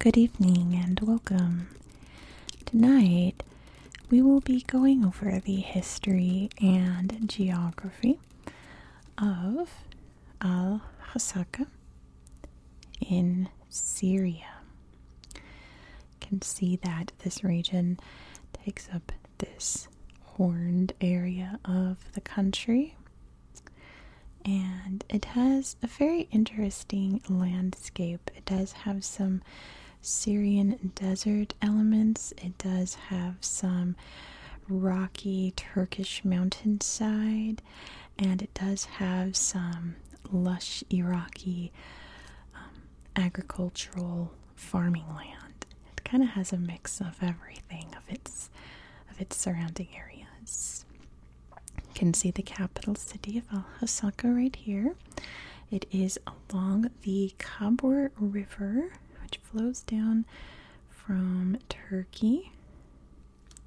Good evening and welcome. Tonight we will be going over the history and geography of Al Hasaka in Syria. You can see that this region takes up this horned area of the country. And it has a very interesting landscape. It does have some Syrian desert elements. It does have some rocky Turkish mountainside, and it does have some lush Iraqi um, agricultural farming land. It kind of has a mix of everything of its of its surrounding areas. You can see the capital city of Al Hasaka right here. It is along the Kabur River, which flows down from Turkey.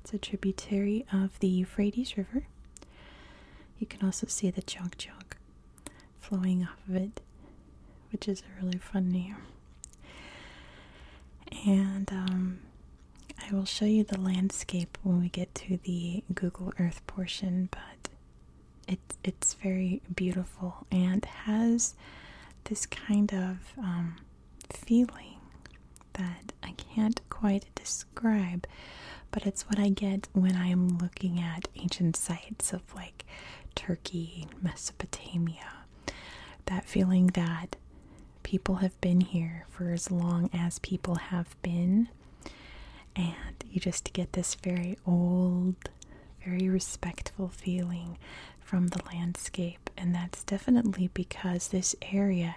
It's a tributary of the Euphrates River. You can also see the Chokchok flowing off of it, which is a really fun name. And um, I will show you the landscape when we get to the Google Earth portion, but it, it's very beautiful and has this kind of um, feeling that I can't quite describe, but it's what I get when I'm looking at ancient sites of like Turkey, Mesopotamia. That feeling that people have been here for as long as people have been, and you just get this very old, very respectful feeling from the landscape, and that's definitely because this area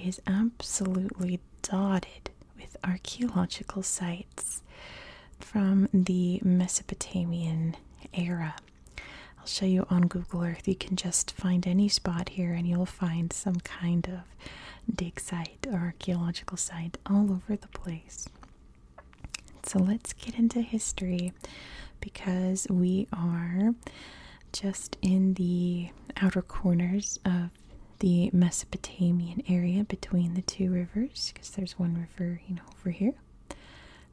is absolutely dotted with archaeological sites from the Mesopotamian era. I'll show you on Google Earth. You can just find any spot here and you'll find some kind of dig site site archaeological site all over the place. So let's get into history because we are just in the outer corners of the Mesopotamian area between the two rivers because there's one river, you know, over here,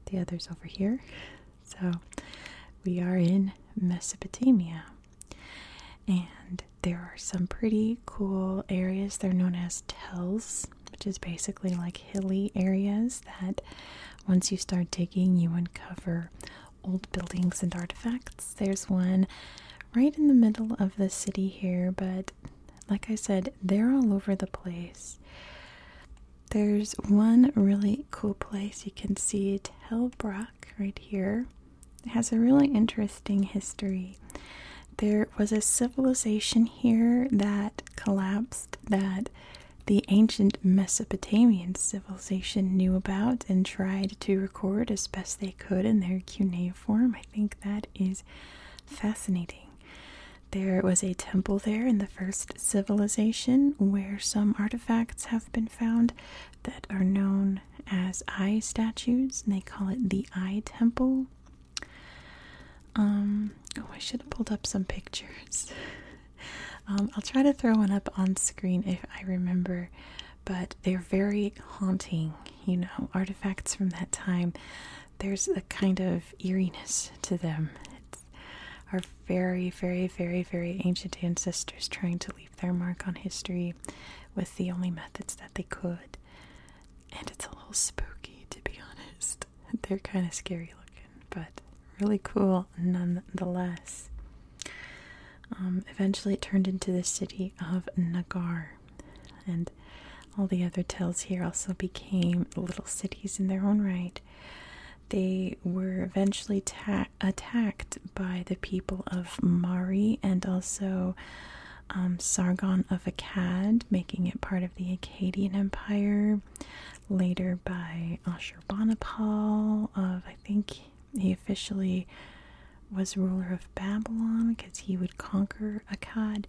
the other's over here. So we are in Mesopotamia. And there are some pretty cool areas. They're known as tells, which is basically like hilly areas that once you start digging, you uncover old buildings and artifacts. There's one right in the middle of the city here, but like I said, they're all over the place. There's one really cool place you can see Telbrock right here. It has a really interesting history. There was a civilization here that collapsed that the ancient Mesopotamian civilization knew about and tried to record as best they could in their cuneiform. I think that is fascinating. There was a temple there in the first civilization where some artifacts have been found that are known as eye statues, and they call it the eye temple. Um, oh, I should have pulled up some pictures. Um, I'll try to throw one up on screen if I remember, but they're very haunting, you know, artifacts from that time. There's a kind of eeriness to them. our very, very, very, very ancient ancestors trying to their mark on history with the only methods that they could. And it's a little spooky, to be honest. They're kind of scary looking, but really cool nonetheless. Um, eventually, it turned into the city of Nagar, and all the other tells here also became little cities in their own right. They were eventually tagged attacked by the people of Mari and also um, Sargon of Akkad, making it part of the Akkadian Empire. Later by Ashurbanipal of I think he officially was ruler of Babylon because he would conquer Akkad.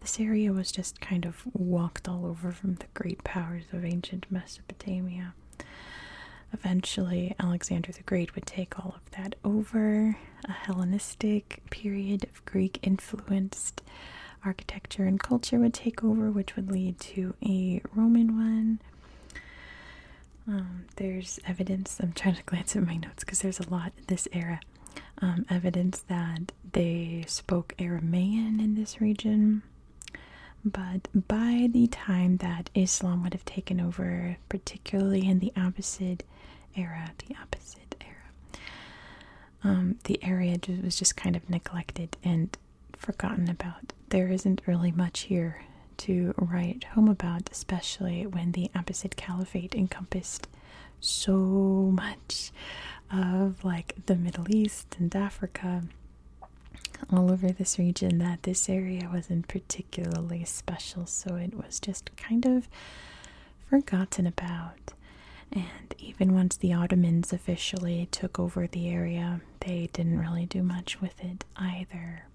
This area was just kind of walked all over from the great powers of ancient Mesopotamia. Eventually, Alexander the Great would take all that over a Hellenistic period of Greek influenced architecture and culture would take over, which would lead to a Roman one. Um, there's evidence, I'm trying to glance at my notes because there's a lot in this era. Um, evidence that they spoke Aramaean in this region, but by the time that Islam would have taken over, particularly in the Abbasid era. The Abbasid era. Um, the area was just kind of neglected and forgotten about. There isn't really much here to write home about, especially when the Abbasid Caliphate encompassed so much of like the Middle East and Africa all over this region that this area wasn't particularly particularly special, so it was just kind of forgotten about. And even once the Ottomans officially took over the area, they didn't really do much with it either.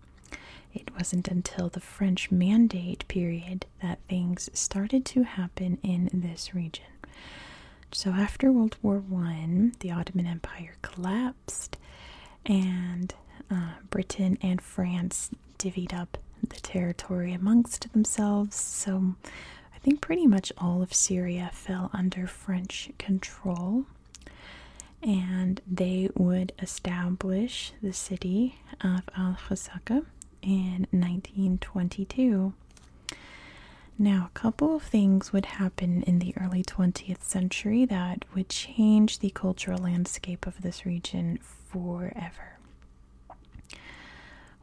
It wasn't until the French Mandate period that things started to happen in this region. So after World War One, the Ottoman Empire collapsed, and uh, Britain and France divvied up the territory amongst themselves. So I think pretty much all of Syria fell under French control. And they would establish the city of Al Hasaka in 1922. Now, a couple of things would happen in the early 20th century that would change the cultural landscape of this region forever.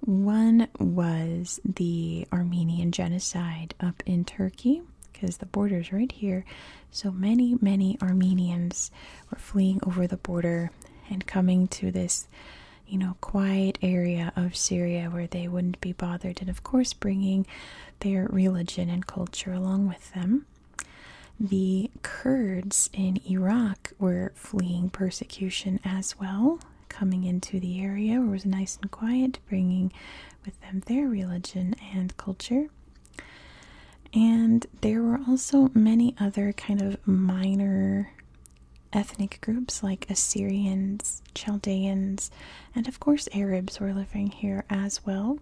One was the Armenian genocide up in Turkey, because the border's right here. So many, many Armenians were fleeing over the border and coming to this, you know, quiet area of Syria where they wouldn't be bothered, and of course, bringing their religion and culture along with them. The Kurds in Iraq were fleeing persecution as well, coming into the area where it was nice and quiet, bringing with them their religion and culture. And there were also many other kind of minor ethnic groups like Assyrians, Chaldeans, and of course Arabs were living here as well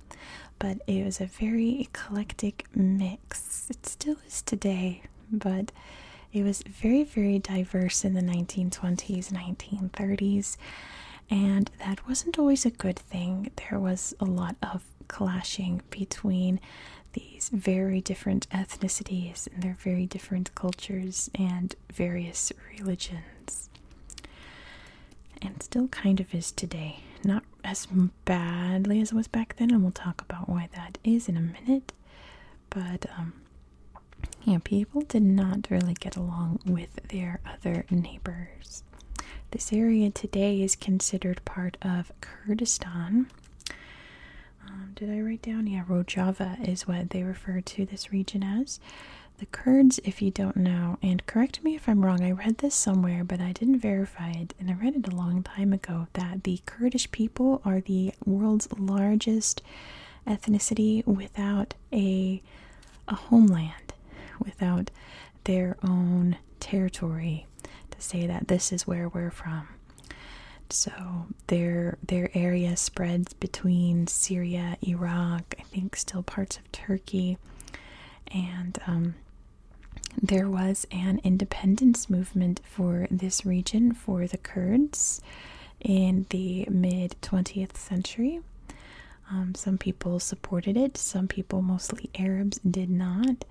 but it was a very eclectic mix. It still is today, but it was very, very diverse in the 1920s, 1930s, and that wasn't always a good thing. There was a lot of clashing between these very different ethnicities and their very different cultures and various religions and still kind of is today. Not as badly as it was back then, and we'll talk about why that is in a minute. But, um, yeah, people did not really get along with their other neighbors. This area today is considered part of Kurdistan. Um, did I write down? Yeah, Rojava is what they refer to this region as. The Kurds, if you don't know, and correct me if I'm wrong, I read this somewhere, but I didn't verify it, and I read it a long time ago that the Kurdish people are the world's largest ethnicity without a a homeland, without their own territory to say that this is where we're from. So their their area spreads between Syria, Iraq, I think still parts of Turkey, and um, there was an independence movement for this region for the Kurds in the mid 20th century. Um, some people supported it, some people, mostly Arabs, did not.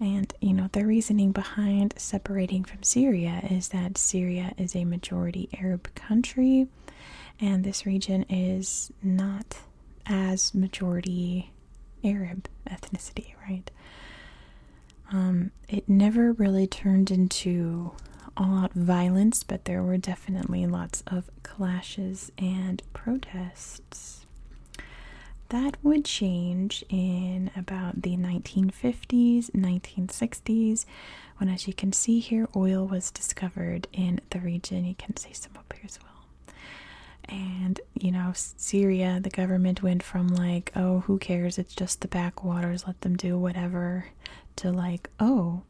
And you know, the reasoning behind separating from Syria is that Syria is a majority Arab country and this region is not as majority Arab ethnicity, right? Um, it never really turned into all out violence, but there were definitely lots of clashes and protests. That would change in about the 1950s, 1960s, when, as you can see here, oil was discovered in the region. You can see some up here as well. And you know, Syria, the government went from like, oh, who cares? It's just the backwaters, let them do whatever, to like, oh,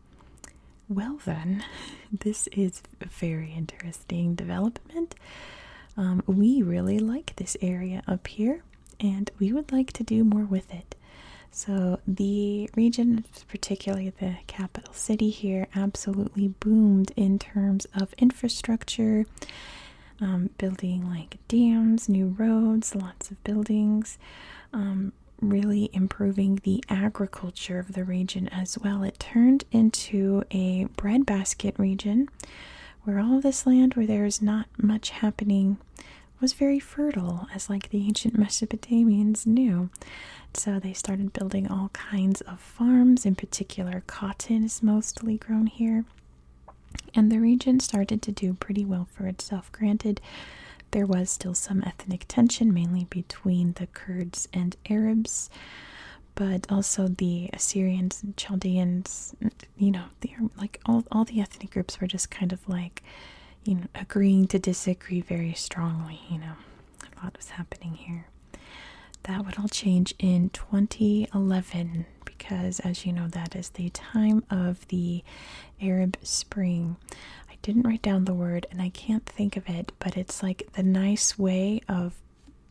well, then, this is a very interesting development. Um, we really like this area up here, and we would like to do more with it. So, the region, particularly the capital city here, absolutely boomed in terms of infrastructure, um, building like dams, new roads, lots of buildings, um, really improving the agriculture of the region as well. It turned into a breadbasket region where all this land where there's not much happening was very fertile, as like the ancient Mesopotamians knew. So they started building all kinds of farms, in particular, cotton is mostly grown here. And the region started to do pretty well for itself. Granted, there was still some ethnic tension, mainly between the Kurds and Arabs, but also the Assyrians and Chaldeans, you know, like all all the ethnic groups were just kind of like, you know, agreeing to disagree very strongly. You know, a lot was happening here. That would all change in 2011 because, as you know, that is the time of the Arab Spring. I didn't write down the word and I can't think of it, but it's like the nice way of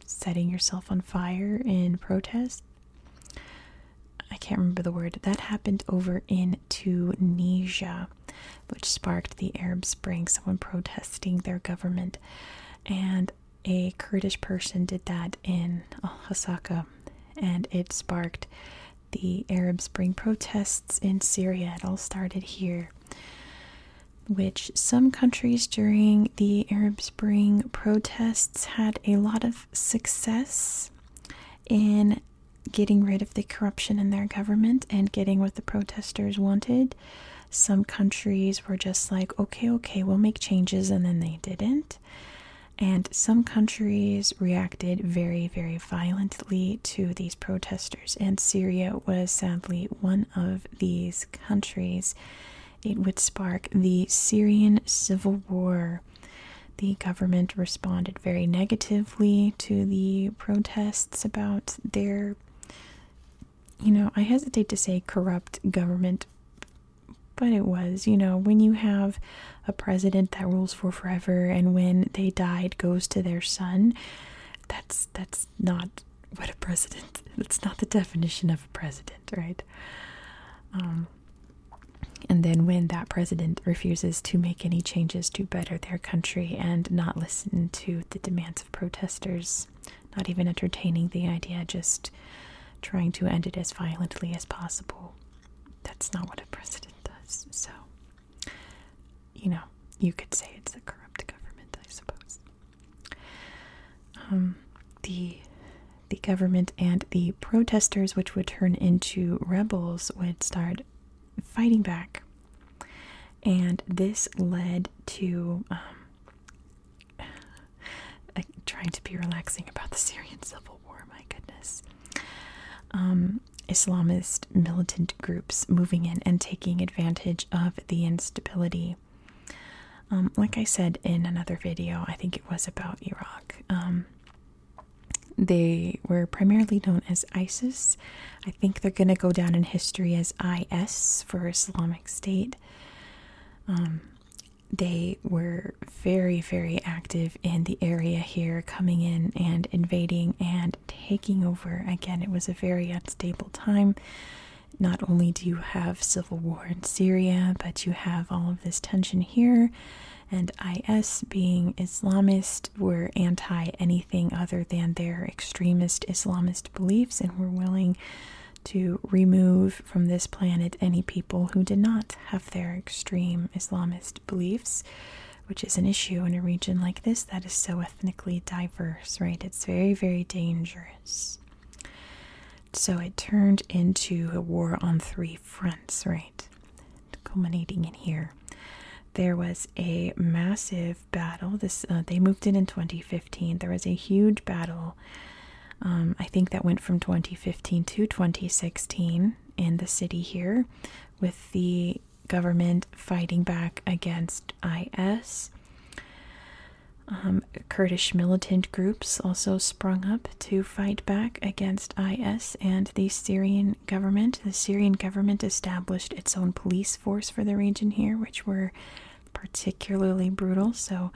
setting yourself on fire in protest. I can't remember the word. That happened over in to Tunisia, which sparked the Arab Spring, someone protesting their government. And a Kurdish person did that in oh, Osaka, and it sparked the Arab Spring protests in Syria. It all started here. Which some countries during the Arab Spring protests had a lot of success in getting rid of the corruption in their government and getting what the protesters wanted. Some countries were just like, okay, okay, we'll make changes, and then they didn't. And some countries reacted very, very violently to these protesters, and Syria was sadly one of these countries. It would spark the Syrian Civil War. The government responded very negatively to the protests about their, you know, I hesitate to say corrupt government, but it was, you know, when you have a president that rules for forever and when they died goes to their son, that's that's not what a president. That's not the definition of a president, right? Um, and then, when that president refuses to make any changes to better their country and not listen to the demands of protesters, not even entertaining the idea, just trying to end it as violently as possible, that's not what a president does. So, you know, you could say it's a corrupt government, I suppose. Um, the the government and the protesters, which would turn into rebels, would start fighting back. And this led to um, trying to be relaxing about the Syrian civil war, my goodness. Um, Islamist militant groups moving in and taking advantage of the instability. Um, like I said in another video, I think it was about Iraq. They were primarily known as ISIS. I think they're going to go down in history as IS for Islamic State. Um, they were very, very active in the area here, coming in and invading and taking over. Again, it was a very unstable time. Not only do you have civil war in Syria, but you have all of this tension here, and IS being Islamist were anti anything other than their extremist Islamist beliefs and were willing to remove from this planet any people who did not have their extreme Islamist beliefs, which is an issue in a region like this that is so ethnically diverse, right? It's very, very dangerous. So it turned into a war on three fronts, right? culminating in here. There was a massive battle. This uh, they moved in in 2015. There was a huge battle. Um, I think that went from 2015 to 2016 in the city here, with the government fighting back against IS. Um, Kurdish militant groups also sprung up to fight back against IS and the Syrian government. The Syrian government established its own police force for the region here, which were particularly brutal. So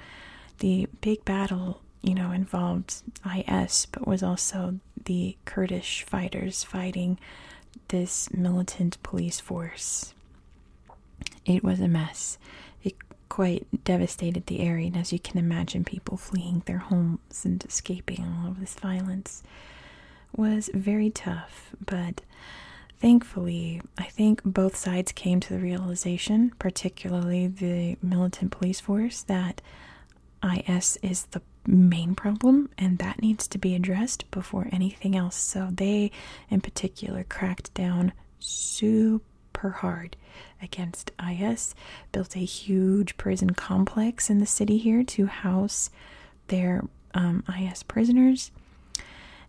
the big battle, you know, involved IS, but was also the Kurdish fighters fighting this militant police force. It was a mess. It quite devastated the area, and as you can imagine, people fleeing their home and escaping all of this violence was very tough, but thankfully, I think both sides came to the realization, particularly the militant police force, that IS is the main problem and that needs to be addressed before anything else. So they, in particular, cracked down super hard against IS, built a huge prison complex in the city here to house their um, IS prisoners,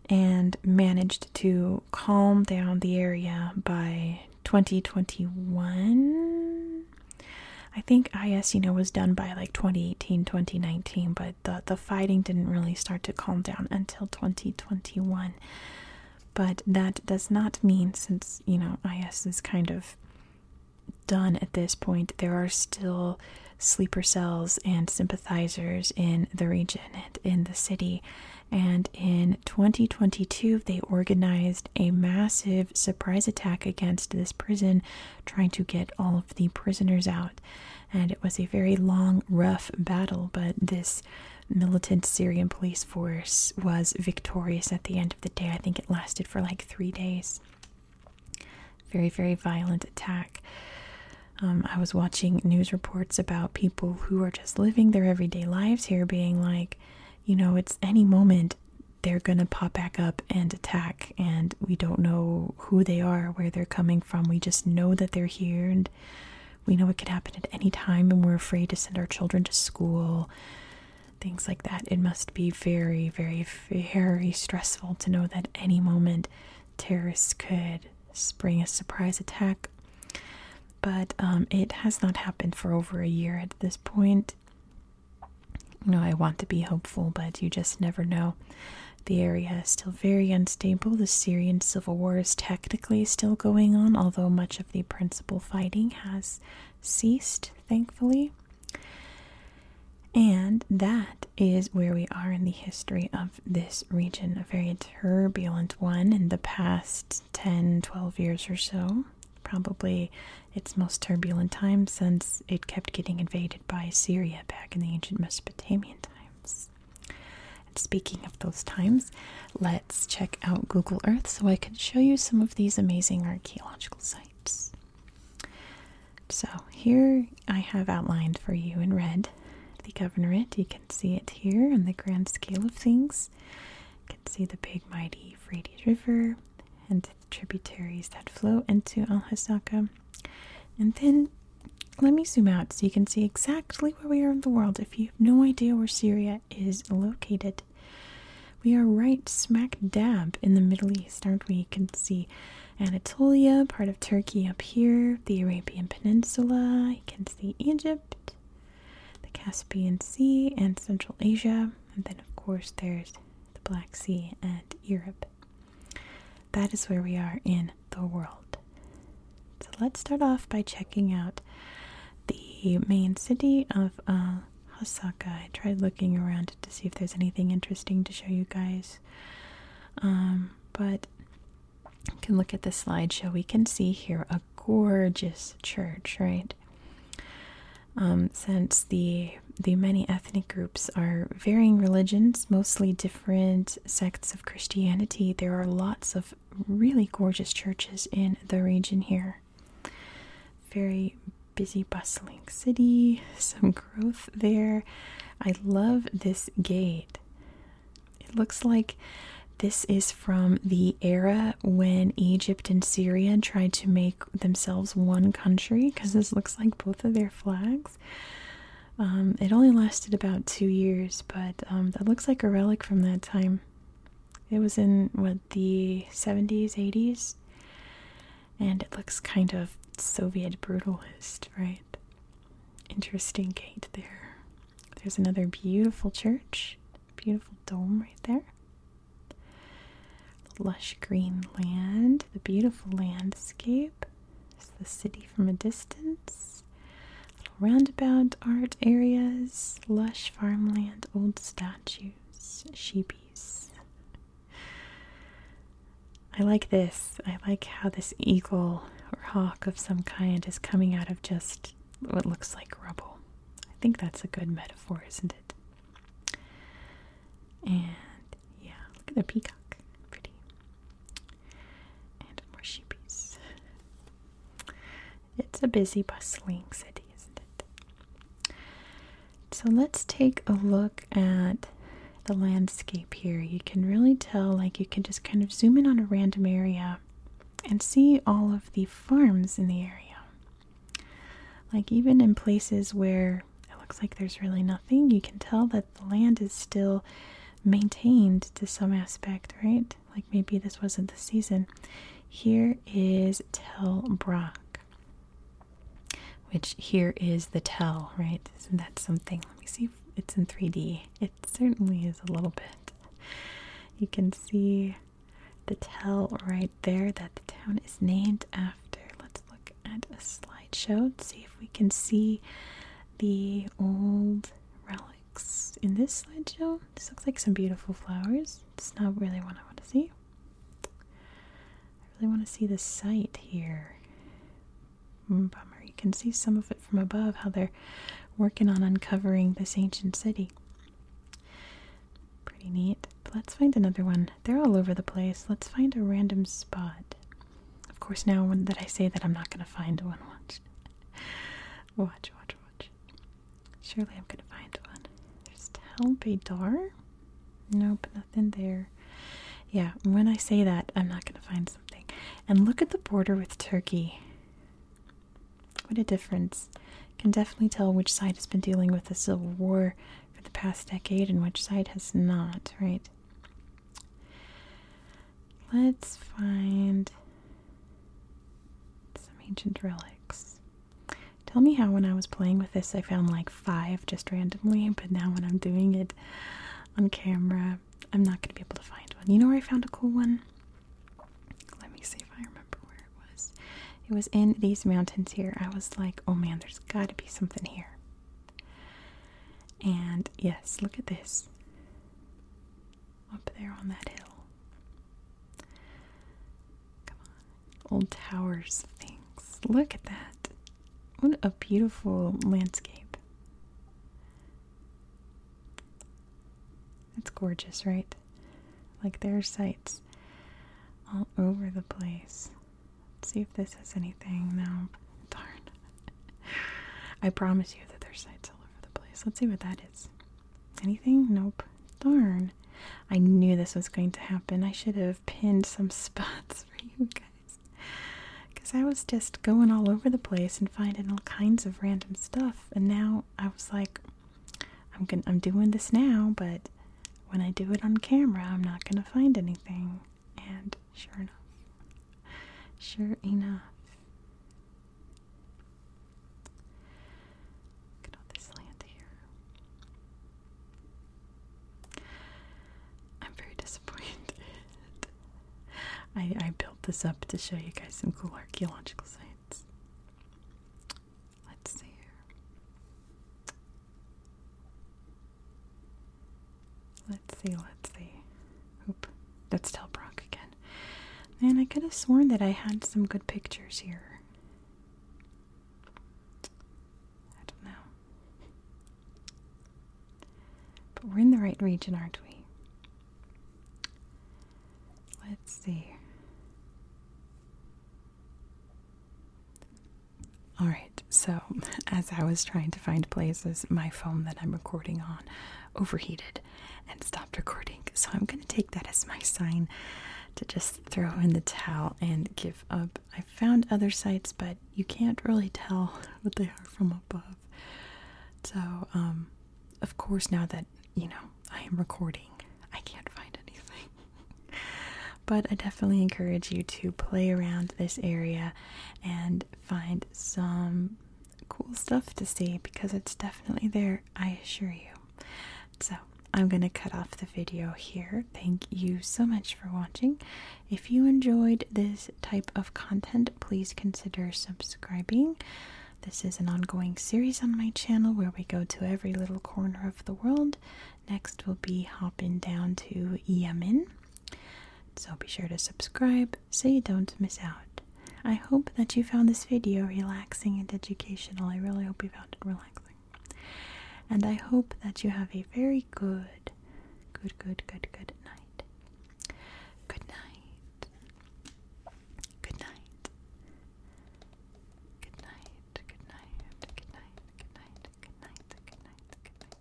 and managed to calm down the area by 2021. I think IS, you know, was done by like 2018, 2019, but the, the fighting didn't really start to calm down until 2021. But that does not mean, since, you know, IS is kind of done at this point. There are still sleeper cells and sympathizers in the region and in the city. And in 2022, they organized a massive surprise attack against this prison, trying to get all of the prisoners out. And it was a very long, rough battle, but this militant Syrian police force was victorious at the end of the day. I think it lasted for like three days. Very, very violent attack. Um, I was watching news reports about people who are just living their everyday lives here, being like, you know, it's any moment they're going to pop back up and attack, and we don't know who they are, where they're coming from. We just know that they're here, and we know it could happen at any time, and we're afraid to send our children to school things like that. It must be very, very, very stressful to know that any moment terrorists could spring a surprise attack. But um, it has not happened for over a year at this point. You know, I want to be hopeful, but you just never know. The area is still very unstable. The Syrian civil war is technically still going on, although much of the principal fighting has ceased, thankfully. And that is where we are in the history of this region, a very turbulent one in the past 10, 12 years or so. Probably its most turbulent time since it kept getting invaded by Syria back in the ancient Mesopotamian times. And speaking of those times, let let's check out Google Earth so I can show you some of these amazing archaeological sites. So, here I have outlined for you in red the governorate. You can see it here on the grand scale of things. You can see the big, mighty Euphrates River and the tributaries that flow into Al Hasaka. And then let me zoom out so you can see exactly where we are in the world. If you have no idea where Syria is located, we are right smack dab in the Middle East, aren't we? You can see Anatolia, part of Turkey up here, the Arabian Peninsula. You can see Egypt, the Caspian Sea, and Central Asia. And then, of course, there's the Black Sea and Europe. That is where we are in the world. So let's start off by checking out the main city of uh, Osaka. I tried looking around to see if there's anything interesting to show you guys, um, but you can look at the slideshow. We can see here a gorgeous church, right? Um, since the the many ethnic groups are varying religions, mostly different sects of Christianity, there are lots of really gorgeous churches in the region here. Very busy, bustling city, some growth there. I love this gate. It looks like this is from the era when Egypt and Syria tried to make themselves one country because this looks like both of their flags. Um, it only lasted about two years, but um, that looks like a relic from that time. It was in what the 70s, 80s, and it looks kind of Soviet brutalist, right? Interesting gate there. There's another beautiful church, beautiful dome right there. lush green land, the beautiful landscape. It's the city from a distance roundabout art areas, lush farmland, old statues, sheepies. I like this. I like how this eagle or hawk of some kind is coming out of just what looks like rubble. I think that's a good metaphor, isn't it? And yeah, look at the peacock. Pretty. And more sheepies. It's a busy, bustling city, isn't it? So let's take a look at the landscape here. You can really tell, like, you can just kind of zoom in on a random area and see all of the farms in the area. Like, even in places where it looks like there's really nothing, you can tell that the land is still maintained to some aspect, right? Like maybe this wasn't the season. Here is Tel Brock, which here is the tell, right? Isn't that something? Let me see it's in 3D. It certainly is a little bit. You can see the tell right there that the town is named after. Let's look at a slideshow to see if we can see the old relic in this slideshow, this looks like some beautiful flowers. It's not really what I want to see. I really want to see the site here. Hmm, bummer. You can see some of it from above, how they're working on uncovering this ancient city. Pretty neat. But let's find another one. They're all over the place. Let's find a random spot. Of course, now that I say that, I'm not going to find one. Watch, watch, watch. Surely I'm gonna find one. There's Talbidar. Nope, nothing there. Yeah, when I say that, I'm not gonna find something. And look at the border with Turkey. What a difference. Can definitely tell which side has been dealing with the civil war for the past decade and which side has not, right? Let's find some ancient relics. Tell me how when I was playing with this I found like five just randomly, but now when I'm doing it on camera, I'm not going to be able to find one. You know where I found a cool one? Let me see if I remember where it was. It was in these mountains here. I was like, oh man, there's got to be something here. And yes, look at this up there on that hill. Come on. Old towers, things. Look at that. What a beautiful landscape. That's gorgeous, right? Like there are sites all over the place. Let's see if this has anything. No. Darn. I promise you that there are sites all over the place. Let's see what that is. Anything? Nope. Darn. I knew this was going to happen. I should have pinned some spots for you guys. Because I was just going all over the place and finding all kinds of random stuff. And now I was like, I'm, gonna, I'm doing this now, but when I do it on camera, I'm not going to find anything. And sure enough, sure enough, Look all this land here. I'm very disappointed. I, I built this up to show you guys some cool archaeological sites. Let's see here. Let's see, let's see. Oop, that's Telbrock again. Man, I could have sworn that I had some good pictures here. I don't know. But we're in the right region, aren't we? Let's see. All right, so as I was trying to find places, my phone that I'm recording on overheated and stopped recording. So I'm going to take that as my sign to just throw in the towel and give up. I found other sites, but you can't really tell what they are from above. So, um, of course, now that you know I am recording, I can't find anything. but I definitely encourage you to play around this area and find some cool stuff to see because it's definitely there, I assure you. So, I'm going to cut off the video here. Thank you so much for watching. If you enjoyed this type of content, please consider subscribing. This is an ongoing series on my channel where we go to every little corner of the world. Next, we'll be hopping down to Yemen. So be sure to subscribe so you don't miss out. I hope that you found this video relaxing and educational. I really hope you found it relaxing. And I hope that you have a very good, good, good, good, good night. Good night. Good night. Good night. Good night. Good night. Good night. Good night. Good night. Good night. Good night.